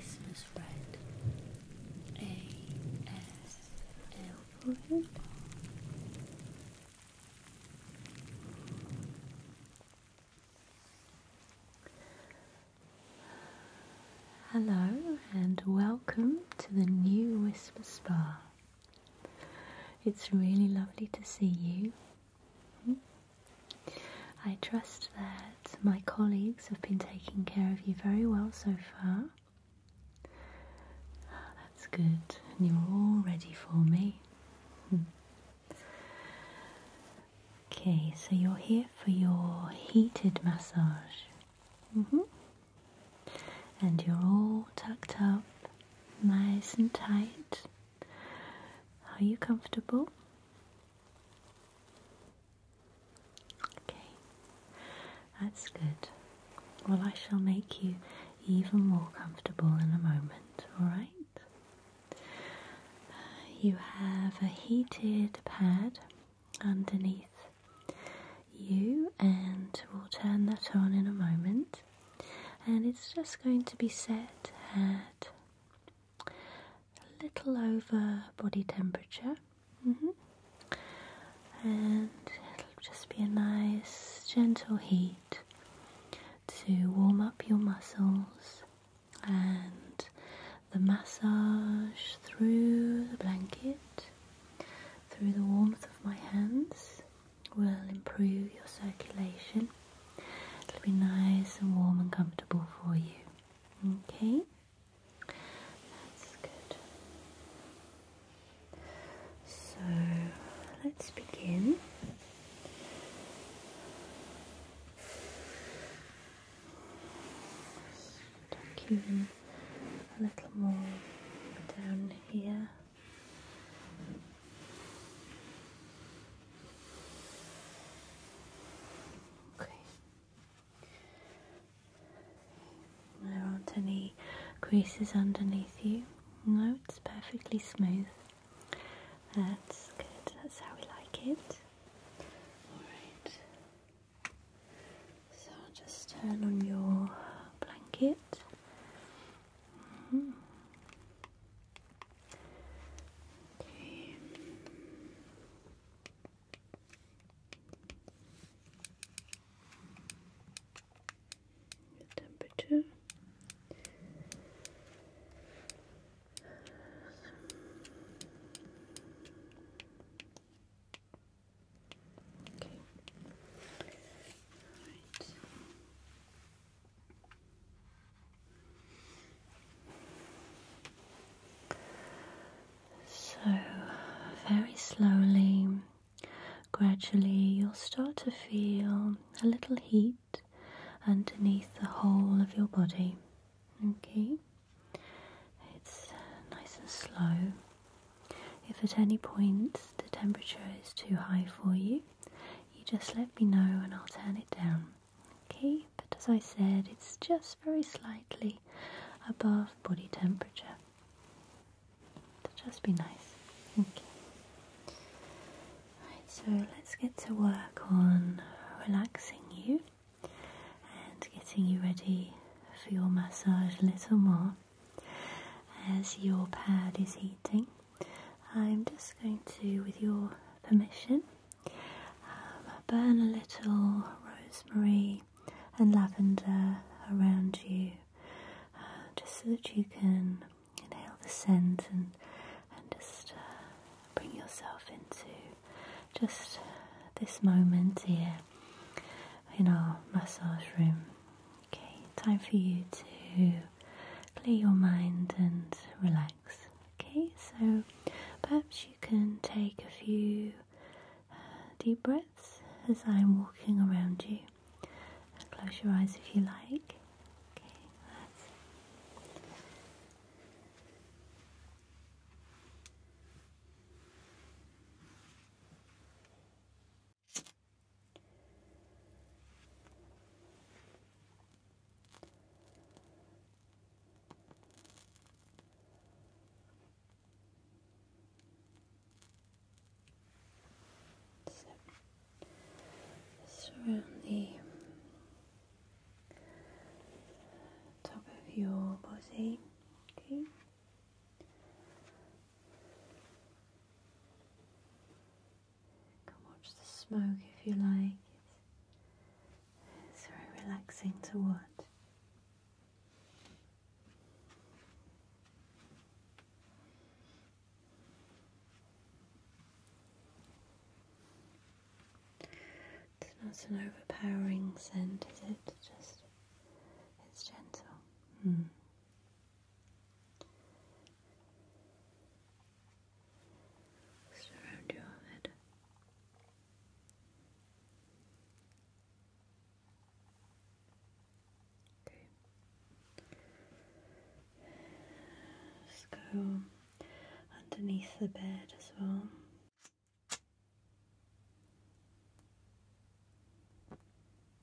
Sesame friend, ASL Hello and welcome to the new Whisper Spa. It's really lovely to see you Hmm? I trust that my colleagues have been taking care of you very well so far. Ah, that's good, and you're all ready for me. Hmm. Okay, so you're here for your heated massage. Mm-hmm. And you're all tucked up, nice and tight. Are you comfortable? Okay, that's good. Well, I shall make you even more comfortable in a moment, alright? You have a heated pad underneath you, and we'll turn that on in a moment and it's just going to be set at a little over body temperature. Mm-hmm. And it'll just be a nice gentle heat to warm up your muscles and the massage through the blanket, through the warmth of my hands will improve your circulation. It'll be nice and warm and comfortable for you. Okay? That's good. So let's begin. Tuck you a little more down here. Okay. There aren't any creases underneath you. No, it's perfectly smooth. That's good. That's how we like it. Alright. So just turn on your blanket Mm -hmm. temperature. Okay. All right. So, very slowly, gradually, you'll start to feel a little heat underneath the whole of your body. Okay? It's nice and slow. If at any point the temperature is too high for you, you just let me know and I'll turn it down. Okay, but as I said, it's just very slightly above body temperature. So just be nice. Okay. Right, so let's get to work on relaxing you and getting you ready for your massage a little more as your pad is heating. I'm just going to, with your permission, um, burn a little rosemary and lavender around you uh, just so that you can inhale the scent and, and just uh, bring yourself into just this moment here in our massage room Okay, time for you to clear your mind and relax. Okay, so perhaps you can take a few uh, deep breaths as I'm walking around you. And close your eyes if you like. So, just around the top of your body, okay can watch the smoke if you like. It's, it's very relaxing to watch. It's not an overpowering scent, is it? Just it's gentle. Mm. Surround your head. Okay. Let's go underneath the bed as well.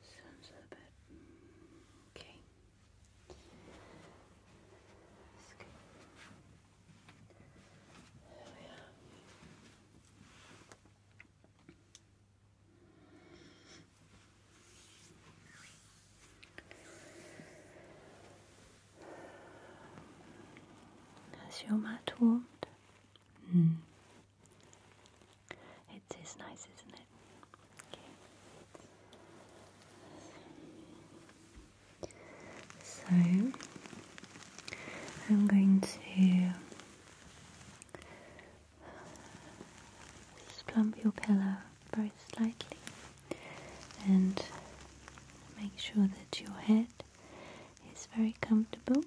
Sounds a bit mm, okay. That's good. Has your mat warmed? Mm. It is nice, isn't it? So I'm going to slump your pillow very slightly and make sure that your head is very comfortable.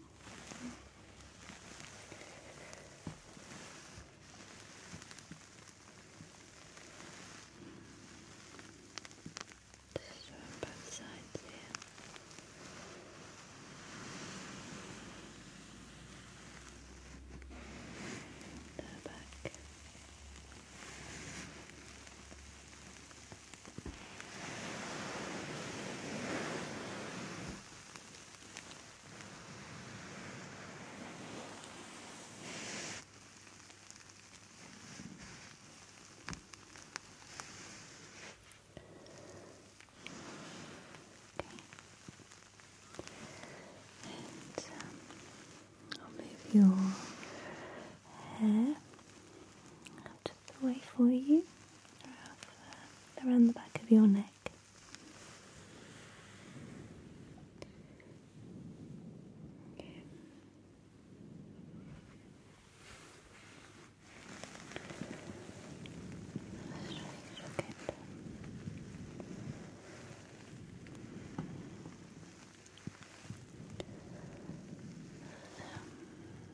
This on both sides here. They're back. Um, I'll move your hair out of the way for you, around the back of your neck. Okay. Let's try to look at um,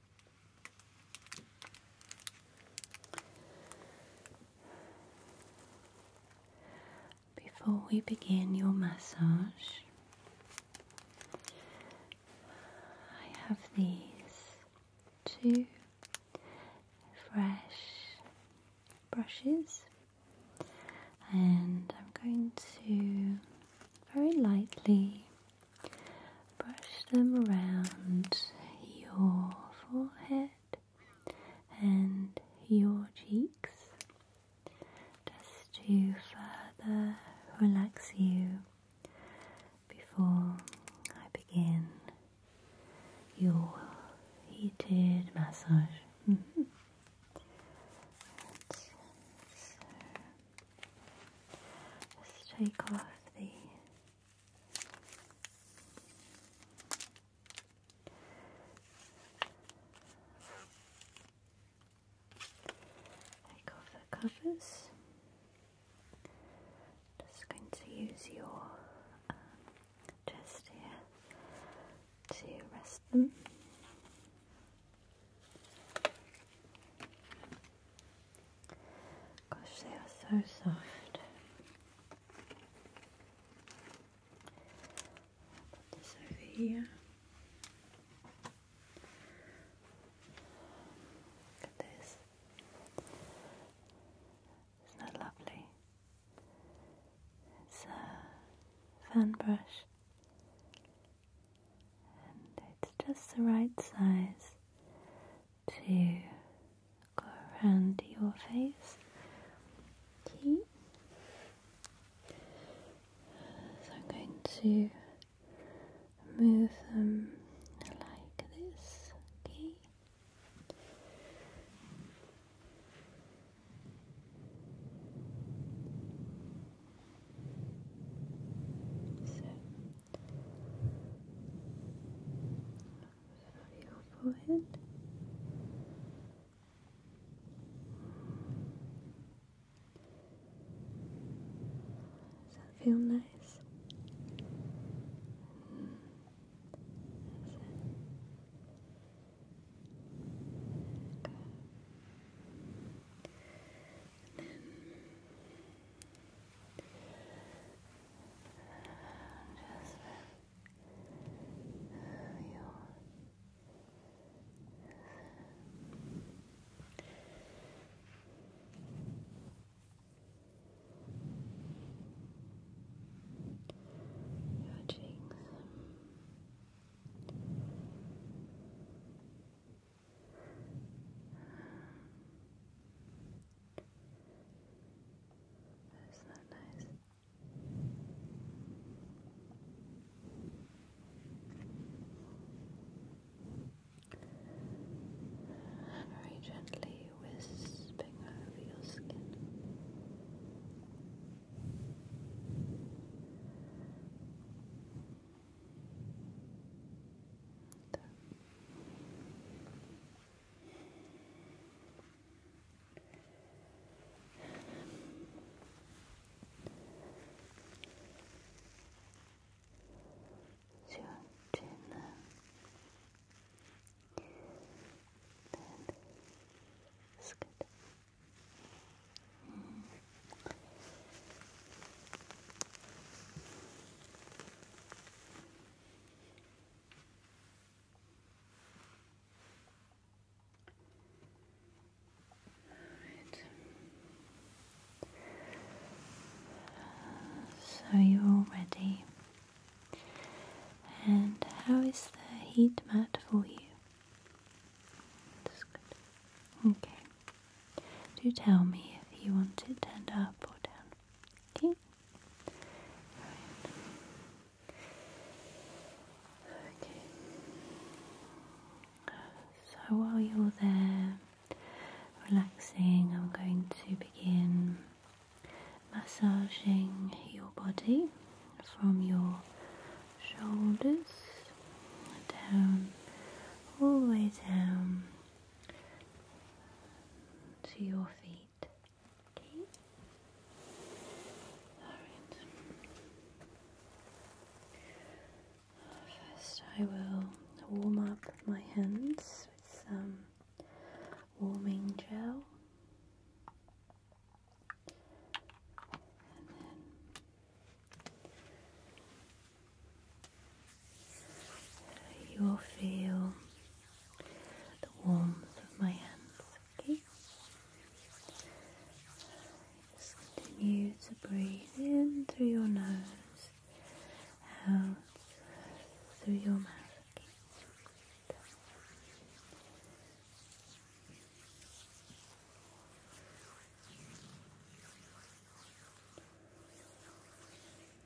Before we begin your massage, I have these two fresh brushes, and I'm going to very lightly Brush them around your forehead and your cheeks just to further relax you before I begin your heated massage. so, uh, let's take off the Take off the covers. Just going to use your um, chest here to rest them. Gosh, they are so soft. Put over here. Look at this. Isn't that lovely? It's a fan brush, and it's just the right size to go around your face. I'm going to move them like this. So Sorry, your forehead. Does that feel nice? Okay. then your cheeks. Your cheeks. That is so nice. Very gently wisping over your skin your chin then it's good hmm. So you're all ready. And how is the heat mat for you? That's good. Okay. Do tell me if you want it turned up or down. Okay. So while you're there relaxing, I'm going to begin massaging your body from your shoulders down all the way down to your feet. Okay? Alright. First, I will warm up my hands with some warming gel. And then you will feel the warmth of my hands, okay? continue to breathe in through your nose, out through your mouth,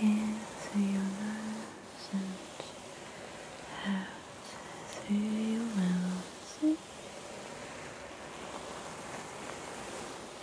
Into your nose and out through your mouth.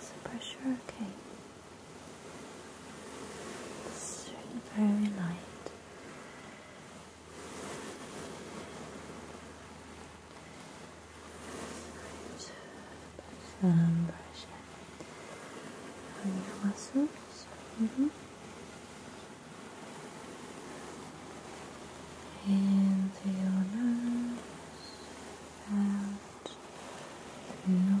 Is the pressure okay? It's very light. some pressure on your muscles in your nose out through your mouth.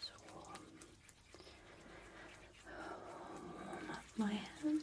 So warm. Um, warm up my hands.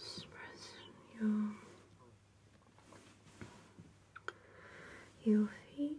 Just pressing your, your feet.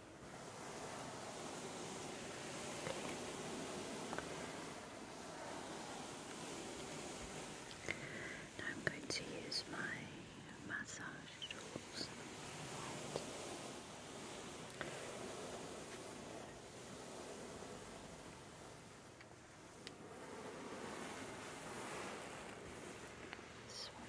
I'm going to use my massage tools. This one.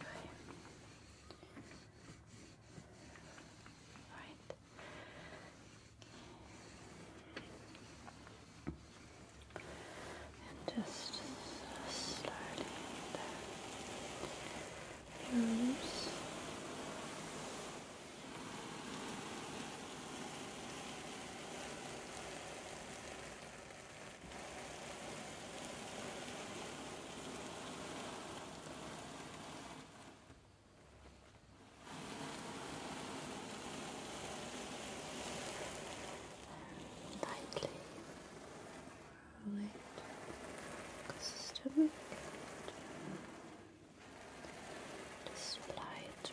Okay. All right. just slowly there. Loose. All lightly roll it across the just apply it to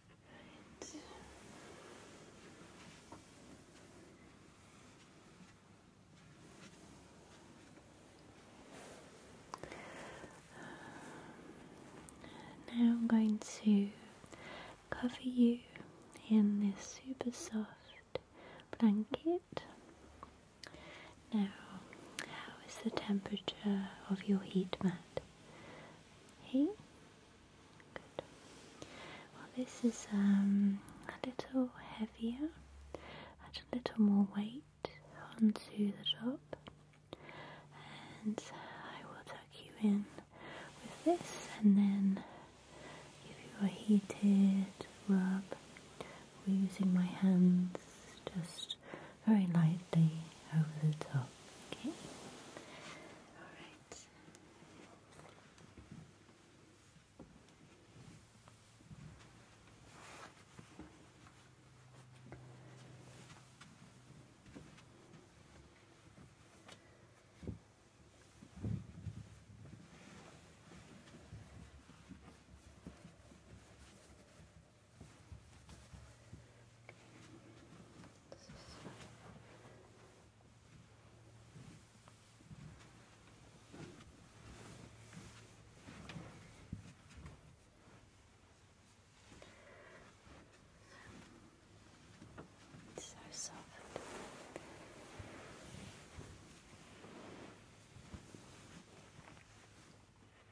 now I'm going to cover you in this super soft blanket. Now, how is the temperature of your heat mat? Hey? Well, this is um, a little heavier, add a little more weight onto the top, and I will tuck you in with this and then give you a heated rub. We're using my hands just very lightly over the top. Okay? Alright. It's so soft.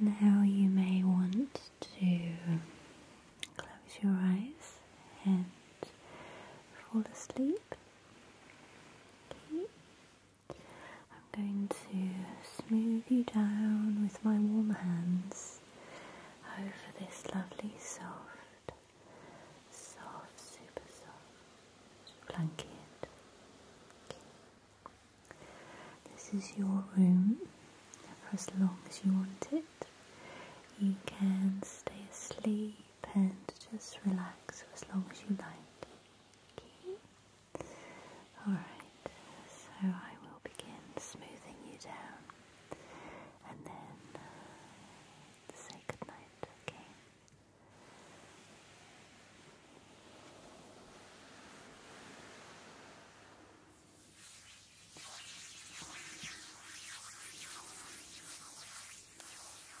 now you may want to close your eyes and fall asleep. Okay. I'm going to smooth you down with my warm hands over this lovely soft, soft, super soft blanket. Okay. This is your room for as long as you want it. You can stay asleep and just relax for as long as you like. Okay. Alright, so I will begin smoothing you down and then uh, say goodnight, okay?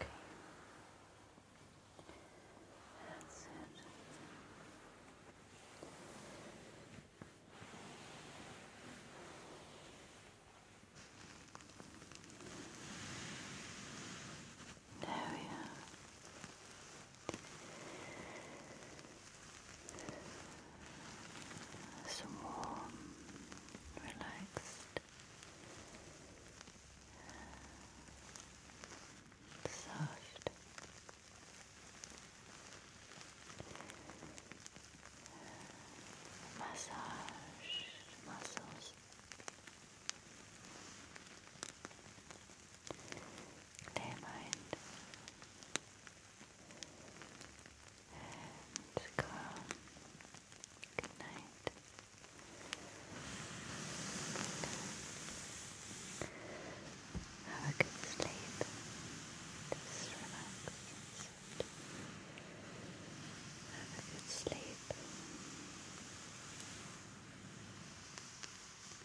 Okay. That's it. There we are so warm, relaxed, soft. Massage muscles their mind and calm. Good night. Have a good sleep. Have a good sleep.